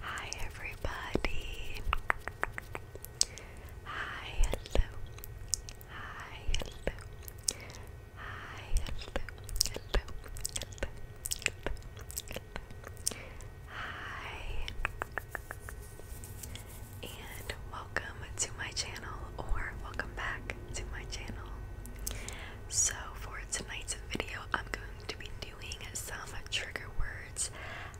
Hi everybody. Hi hello. Hi hello. Hi hello. Hello. Hello. Hi. And welcome to my channel or welcome back to my channel. So for tonight's video, I'm going to be doing some trigger words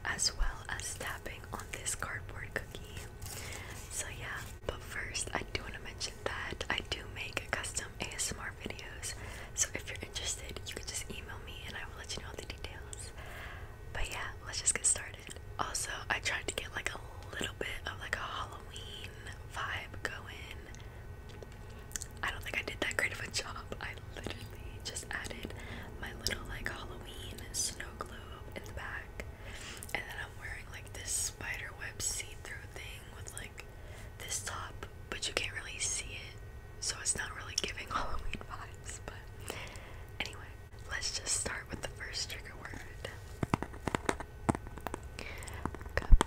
as well as tapping on this cardboard cookie. So, yeah, but first, I do want to mention that I do make custom ASMR videos. So, if you're interested, you can just email me and I will let you know all the details. But, yeah, let's just get started. Also, I tried to get like a little bit of like a Halloween vibe going. I don't think I did that great of a job. I literally just added my little like Halloween snow globe in the back, and then I'm wearing like this spider web see-through thing with like this top, but you can't really see it, so it's not really giving Halloween vibes. But anyway, let's just start with the first trigger word. Cupcake.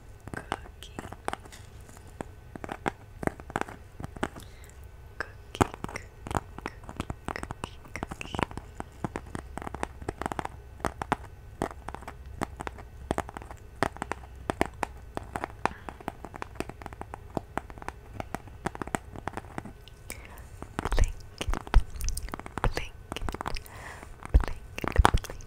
cookie, cookie, cookie, cookie. Blink, blink, blink, blink, blink,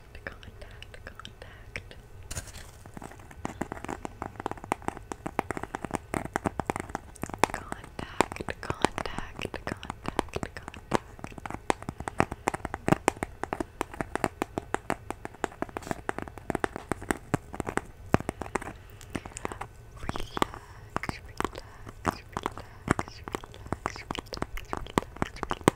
contact, contact, contact. Contact, contact, contact, relax, relax, relax, relax.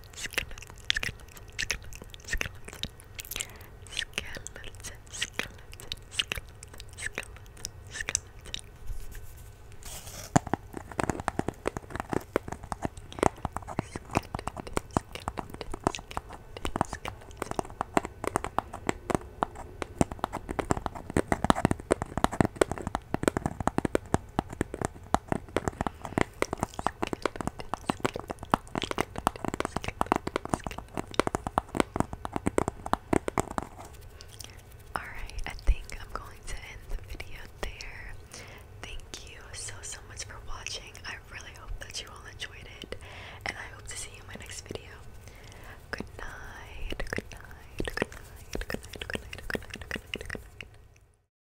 skeleton, skeleton, skeleton, skeleton, skeleton, skeleton, skeleton, skeleton. Skeleton, Alright, I think I'm going to end the video there. Thank you so, so much for watching. I really hope that you all enjoyed it, and I hope to see you in my next video. Good night, good night, good night, good night, good night, good night, good night, good night. Good night.